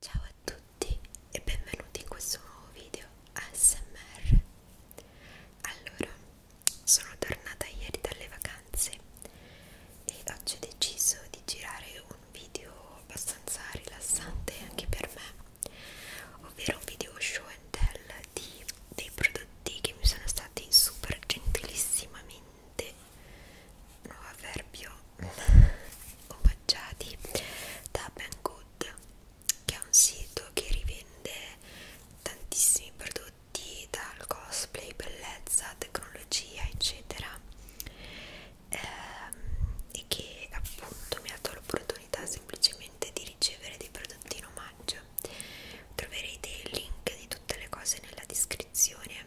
Ciao a tutti e benvenuti in questo nuovo video ASMR. Allora, sono tornata ieri dalle vacanze e oggi ho deciso di girare un video abbastanza rilassante anche per me, ovvero un video show and tell di, dei prodotti che mi sono stati super gentilissimamente nuovo avverbio omaggiati da Banggood che è un sito che rivende tantissimi prodotti dal cosplay, bellezza, tecnologia eccetera ehm, e che appunto mi ha dato l'opportunità semplicemente di ricevere dei prodotti in omaggio troverete il link di tutte le cose nella descrizione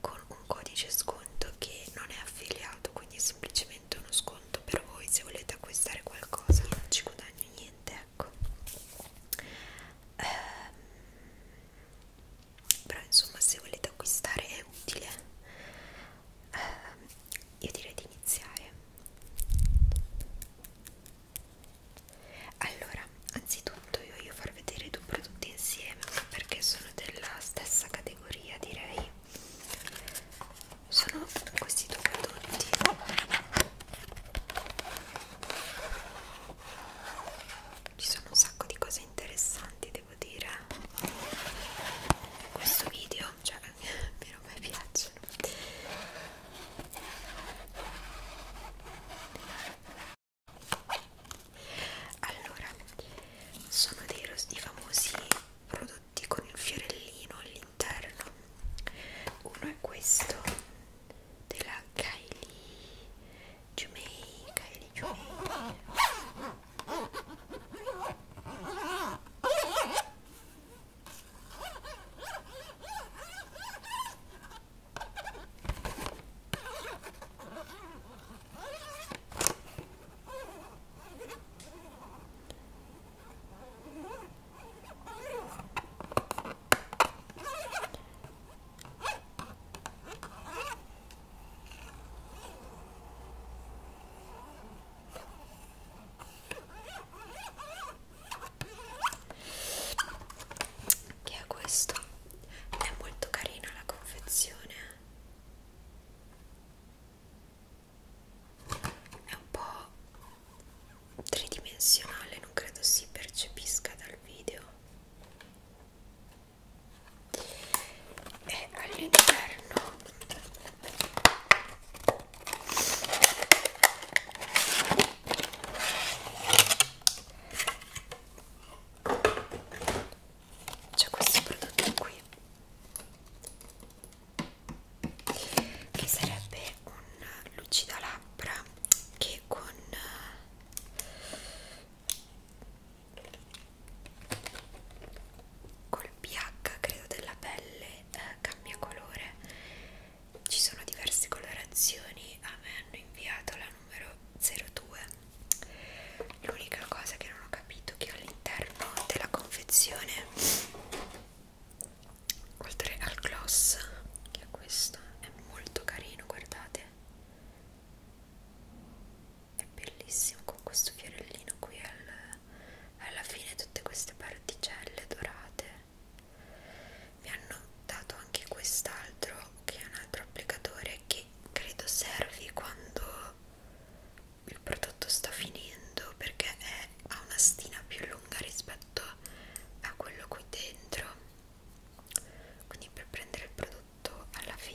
con un codice sconto che non è affiliato quindi è semplicemente uno sconto per voi se volete acquistare qualcosa non ci guadagno niente ecco ehm, però insomma se volete acquistare è utile ehm, io direi di iniziare allora anzitutto io voglio far vedere due prodotti insieme perché sono della stessa categoria direi sono questi due prodotti ci sono un sacco di cose interessanti devo dire questo video cioè mi non mi piacciono allora sono dei, i famosi prodotti con il fiorellino all'interno uno è questo della Kylie Jumei Kylie Jumei che è questo è molto carina la confezione eh è un po' tridimensionale, non credo si percepisca dal video. E all'interno c'è questo prodotto qui che sarebbe un lucida labbra che con col pH credo della pelle eh, cambia colore ci sono diverse colorazioni a me hanno inviato la numero 02 L'unica cosa che non ho capito è che all'interno della confezione, oltre al gloss, che è questo, è molto carino, guardate, è bellissimo con questo fiorellino qui al, alla fine, tutte queste particelle dorate. Mi hanno dato anche quest'altro che è un altro applicatore che credo servi quando il prodotto sta finendo perché è, ha una stina più lunga rispetto a quello qui dentro quindi per prendere il prodotto alla fine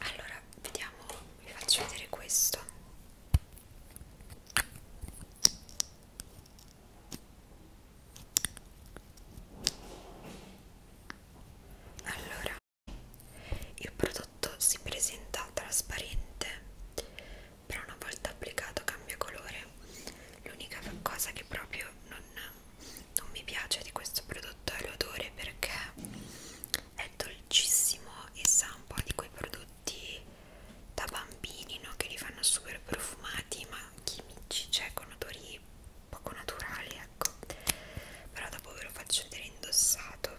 allora vediamo vi faccio vedere questo allora il prodotto si presenta trasparente però una volta applicato cambia colore l'unica cosa che proprio non non mi piace di questo prodotto è l'odore perché è dolcissimo e sa un po' di quei prodotti da bambini no? che li fanno super profumati ma chimici, cioè con odori poco naturali ecco però dopo ve lo faccio vedere indossato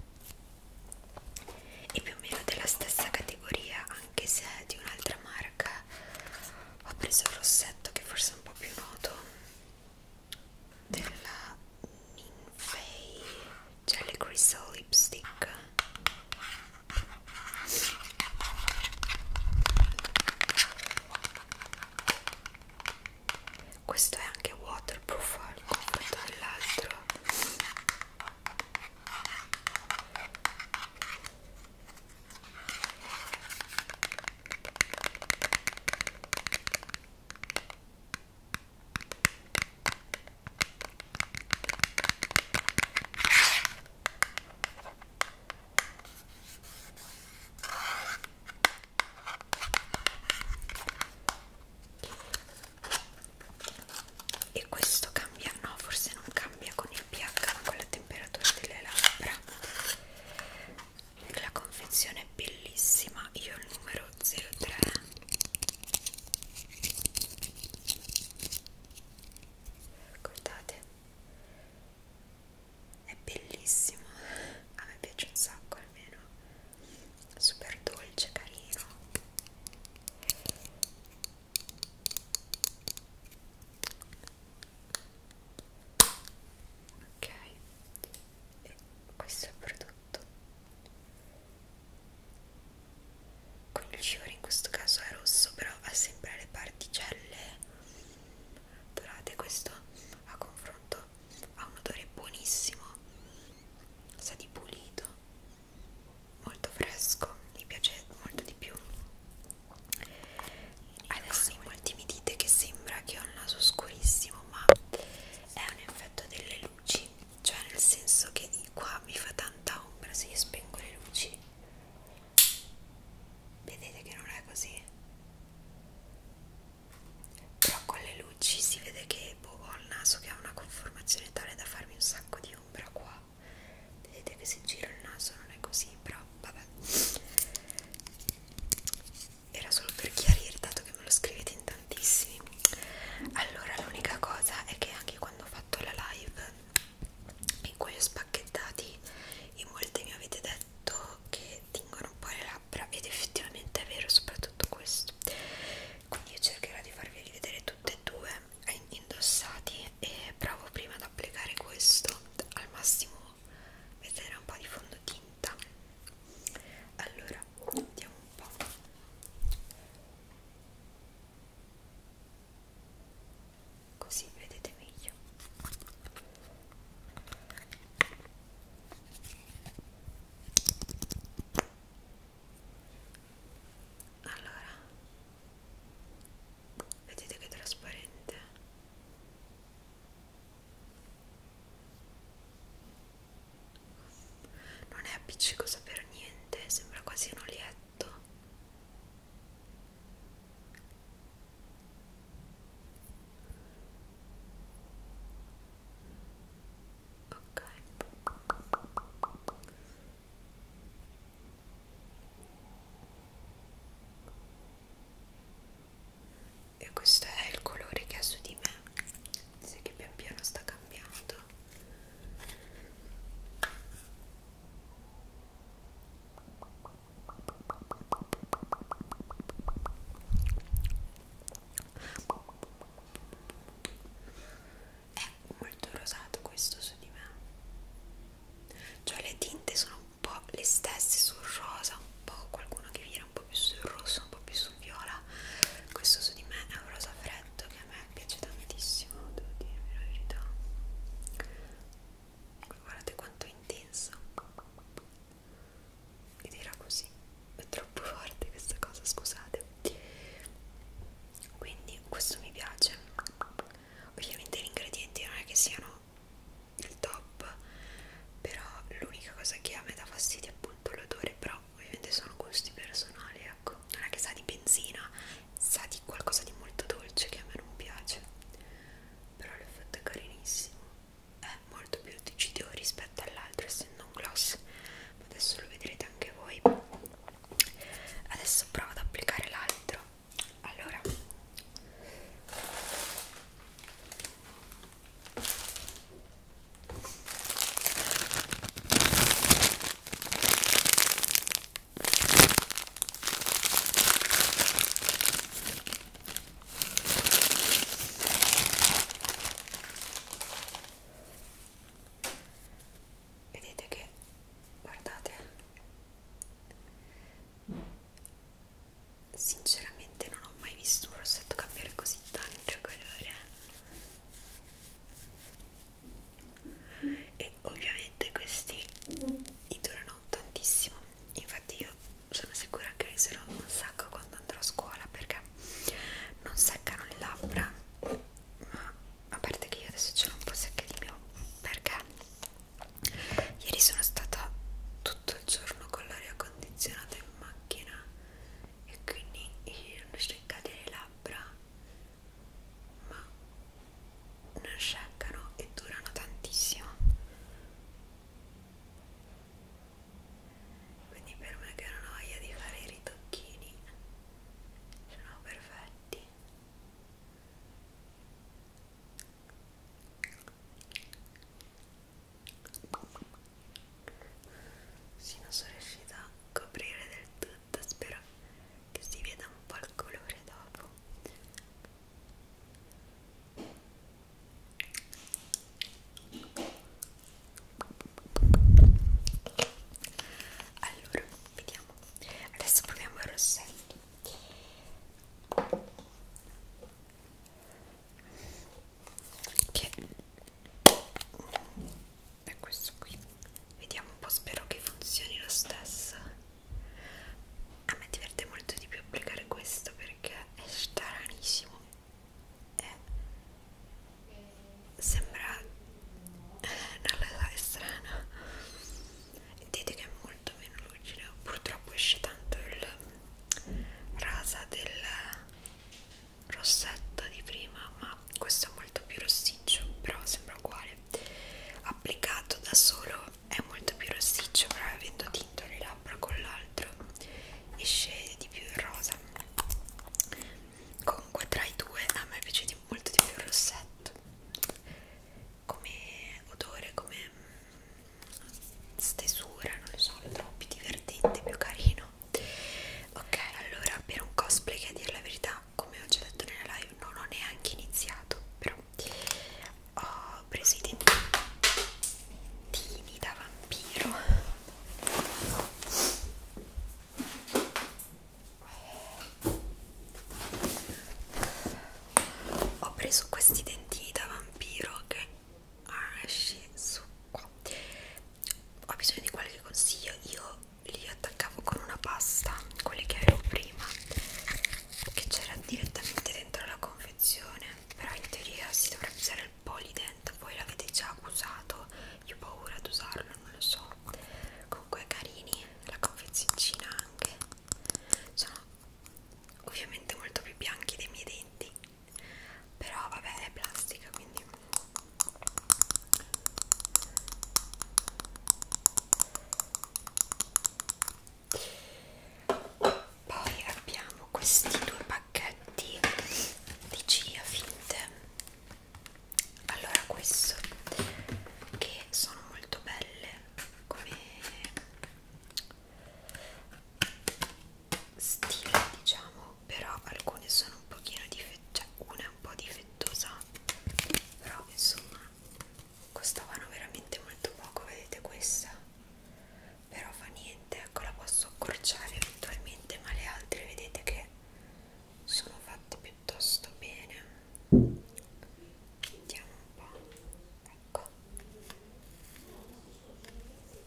e più o meno della stessa categoria anche se è di un'altra marca ho preso il rossetto che forse è un po' più noto della Ninfei Jelly Crystal Lipstick questo è anche waterproof al confronto dell'altro e questo cambia, no, forse non cambia con il pH, ma con la temperatura delle labbra la confezione è bellissima io ho il numero 03 guardate è bellissimo a me piace un sacco almeno super dolce carino ok e questo è il prodotto con il fiore in questo caso è rosso però ha sempre le particelle dorate questo a confronto ha un odore buonissimo sa di pulito molto fresco mi piace molto di più adesso molti mi dite che sembra che ho il naso scurissimo ma è un effetto delle luci cioè nel senso che qua mi fa tanta ombra se io spengo le luci vedete che non è così però con le luci si vede che boh, ho il naso che ha una conformazione tale da farmi un sacco di ombra qua vedete che se giro il naso non è così però vabbè era solo per chiarire dato che me lo scrivete in tantissimi allora l'unica cosa è che anche quando ho fatto la live in cui ho spacchettati in molti mi avete detto che tingono un po' le labbra ed effettivamente è vero soprattutto questo quindi io cercherò di farvi rivedere tutte e due eh, indossati e provo prima ad applicare questo al massimo mettere un po' di fondotinta allora vediamo un po' così vedete meglio allora vedete che trasparente non è appiccicosa per niente, sembra quasi un olietto. Ok e questo è il colore che ha su di me si che pian piano sta cambiando è molto rosato questo su di me cioè le tinte sono un po' le stesse sul rosa, un po' qualcuno che viene un po' più sul rosso, un po' più sul viola. Questo su di me è un rosa freddo che a me piace tantissimo, devo dirvi la verità. Guardate quanto è intenso. Ed era così, è troppo forte questa cosa, scusate. Quindi questo mi piace. Ovviamente gli ingredienti non è che siano il top però l'unica cosa che a me dà fastidio è appunto l'odore però ovviamente sono gusti personali ecco non è che sa di benzina sa di qualcosa di molto dolce che a me non piace però l'effetto è carinissimo è molto più decidio rispetto all'altro essendo un gloss ma adesso lo vedrete anche voi adesso provo ad applicare l'altro allora Vedete che guardate sinceramente non ho mai visto un rossetto cambiare così tanto colore e ovviamente questi durano tantissimo infatti io sono sicura che userò un sacco quando andrò a scuola perché non seccano le labbra ma a parte che io adesso ce l'ho un po' secca di mio perché ieri sono stata tutta tutto il giorno con l'aria condizionata in macchina e quindi non sceccate le labbra ma non sceccano e durano tantissimo quindi per me che non ho voglia di fare i ritocchini sono perfetti sì, non sono riuscita a coprire del tutto, spero che si veda un po' il colore dopo. Allora, vediamo. Adesso proviamo il rossetto che è questo qui vediamo un po' spero che funzioni lo stesso a me diverte molto di più applicare questo perché è stranissimo e sembra non lo so è strano dite che è molto meno lucida purtroppo esce tanto il rasa del rossetta di prima ma questo è molto più rossiccio però sembra uguale applicato da solo è molto più rossiccio però avendo tinto le labbra con l'altro esce di più il rosa comunque tra i due a me piace molto di più il rossetto come odore come stesura, non lo so, lo trovo più divertente, più carino. Ok, allora per un cosplay che a dire la verità, come ho già detto nella live, non ho neanche iniziato, però ho preso i dentini da vampiro. Ho preso questi dentini da vampiro che asce succo ho bisogno di qualche consiglio io li attaccavo con una pasta quelli che avevo prima che c'era direttamente dentro la confezione però in teoria si dovrebbe usare il polident voi l'avete già usato io ho paura ad usarlo non lo so comunque carini la confezioncina anche sono ovviamente molto più bianchi dei miei denti però vabbè è plastica quindi poi abbiamo questi due pacchetti di chia finte allora questo che sono molto belle come stile diciamo però alcune sono un pochino difettosa cioè una è un po' difettosa però insomma costavano veramente molto poco vedete questa però fa niente ecco la posso accorciare eventualmente ma le altre vedete che sono fatte piuttosto bene vediamo un po' ecco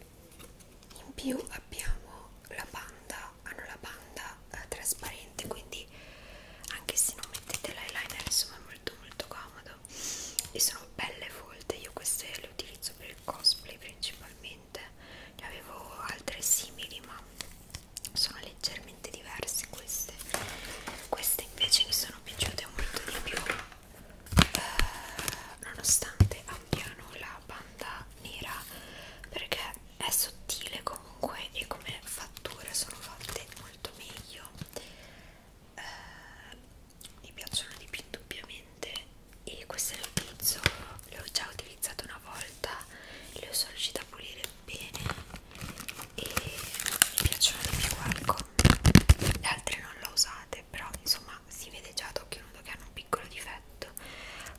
in più abbiamo la banda hanno la banda eh, trasparente quindi anche se non mettete l'eyeliner insomma è molto molto comodo e sono belle folte io queste le utilizzo per il cosplay principalmente ne avevo altre simili ma sono leggermente diverse queste queste invece mi sono piaciute molto di più eh, nonostante abbiano la banda nera perché è sottile comunque e come fatture sono fatte molto meglio eh, mi piacciono di più indubbiamente e queste le utilizzo le ho già utilizzate una volta le sono riuscita a pulire bene e mi piacciono di più ecco le altre non le ho usate però insomma si vede già ad occhio anche nudo che hanno un piccolo difetto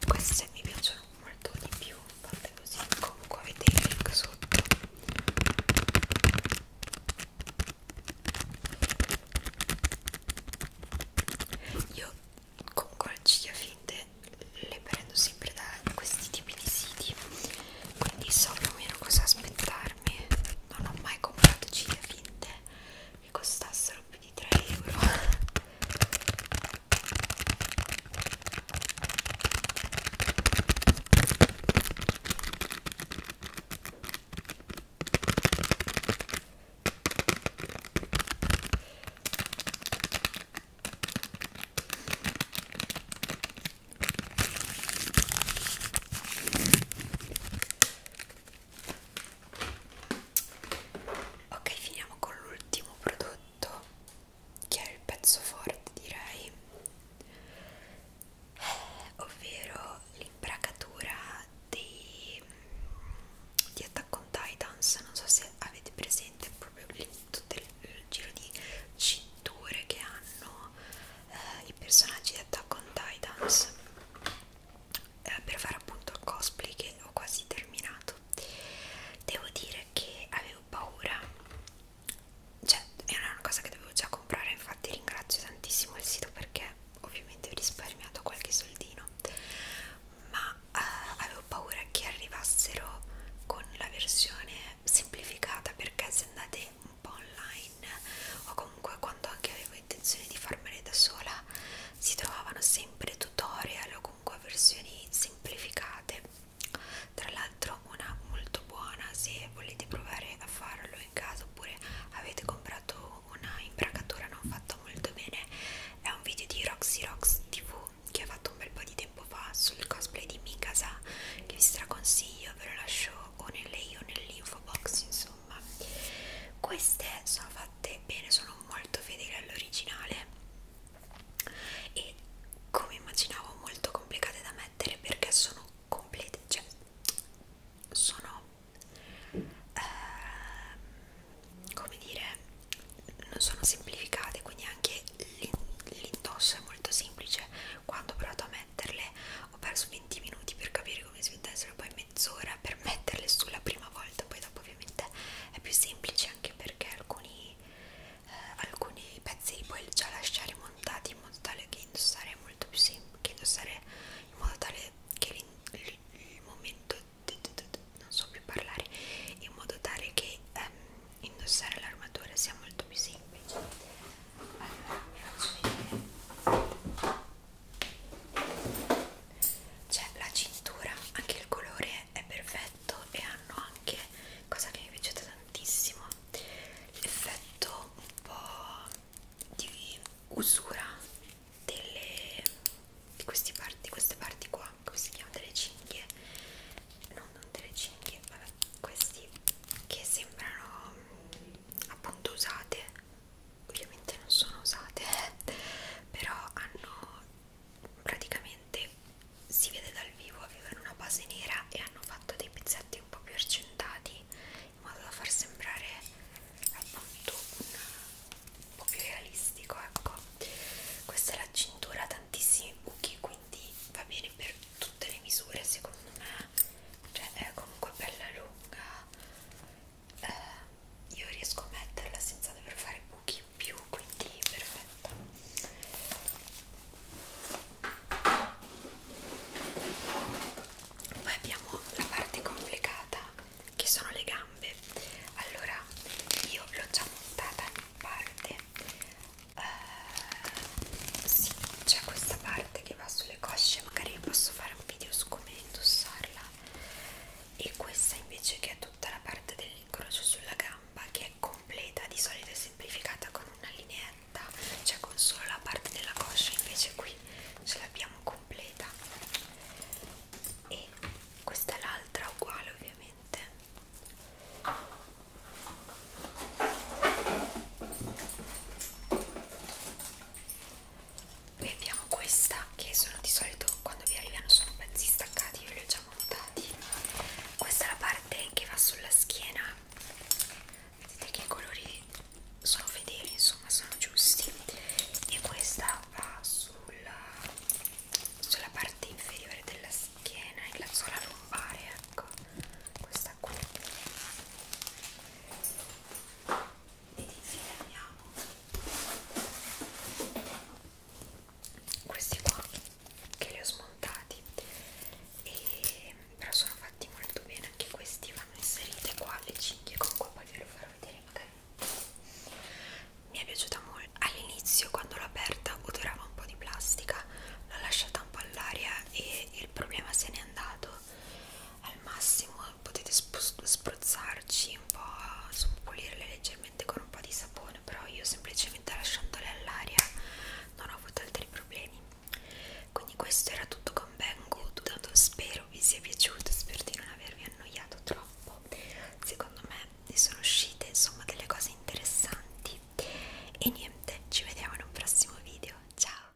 queste mi piacciono molto di più fatte così comunque avete il link sotto io comunque le ciglia finte le prendo sempre da questi tipi di siti quindi so più o meno cosa aspettarmi non ho mai comprato ciglia finte mi costassero più di 3 euro ok finiamo con l'ultimo prodotto che è il pezzo forte direi eh, ovvero l'imbracatura di, di Attack on Titans non so se avete presente proprio lì, tutto il, il giro di cinture che hanno eh, i personaggi di Attack on Titans eh, per fare appunto il cosplay che ho quasi terminato devo dire che avevo paura cioè era una cosa che dovevo già comprare infatti ringrazio tantissimo il sito perché ovviamente ho risparmiato qualche soldino ma eh, avevo paura che arrivassero con la versione semplificata perché se andate un po' online o comunque comunque quando anche avevo intenzione di farmele da sola si trovavano sempre tutorial o comunque versioni semplificate tra l'altro una molto buona se volete provare a farlo in casa oppure avete comprato una imbracatura non fatta molto bene è un video di Roxy Rox TV che ha fatto un bel po' di tempo fa sul cosplay di Mikasa che vi straconsiglio ve lo lascio o nelle o nell'info box insomma insomma queste sono fatte bene sono molto fedeli all'originale e come immaginavo molto complicate da mettere perché sono complete cioè sono eh, come dire non sono semplificate quindi anche l'indosso è molto semplice quando ho provato a metterle ho perso 20 minuti per capire come si mettessero poi mezz'ora per metterle sulla prima volta poi dopo ovviamente è più semplice anche perché alcuni, eh, alcuni pezzi li puoi già lasciare montati in modo tale che indossare è molto più semplice indossare in modo tale che il, il momento non so più parlare in modo tale che ehm, indossare l'armatura sia molto più semplice allora vi faccio vedere c'è cioè, la cintura anche il colore è perfetto e hanno anche cosa che mi è piaciuta tantissimo l'effetto un po' di usura delle di queste parti queste parti qua come si chiamano delle cinghie no, non delle cinghie vabbè questi che sembrano appunto usate ovviamente non sono usate però hanno praticamente si vede dal vivo avevano una base nera e hanno fatto dei pezzetti un po' più argentati in modo da far sembrare appunto un, un po' più realistico ecco questa è la cintura tantissimi buchi quindi va bene per tutte le misure secondo me cioè è comunque bella lunga eh, io riesco a metterla senza dover fare buchi in più quindi perfetta poi abbiamo la parte complicata che sono le gambe allora io l'ho già montata in parte uh, sì c'è questa parte che va sulle cosce magari posso fare un video su come indossarla e questa invece che è tutta la parte dell'incrocio sulla gamba che è completa di solito è semplificata con una lineetta cioè con solo la parte della coscia invece qui ce l'abbiamo completa e questa è l'altra uguale ovviamente poi abbiamo questa che sono di solito quando vi arrivano sono pezzi staccati ve li ho già montati questa è la parte che va sulla schiena vedete che i colori sono fedeli insomma sono giusti e questa va sulla, sulla parte inferiore della schiena e la sola lombare ecco questa qui ed infine abbiamo questi qua che li ho smontati e però sono fatti molto bene anche questi vanno inserite qua alle cinghie con qua poi ve lo farò vedere magari mi è piaciuta molto all'inizio quando l'ho aperta odorava un po' di plastica l'ho lasciata un po' all'aria e il problema se n'è andato al massimo potete spruzzarci un po', pulirle leggermente con un po' di sapone, però io semplicemente lasciandole all'aria non ho avuto altri problemi. Quindi questo era tutto con Ben Good, spero vi sia piaciuto, spero di non avervi annoiato troppo. Secondo me ne sono uscite insomma delle cose interessanti e niente, ci vediamo in un prossimo video. Ciao!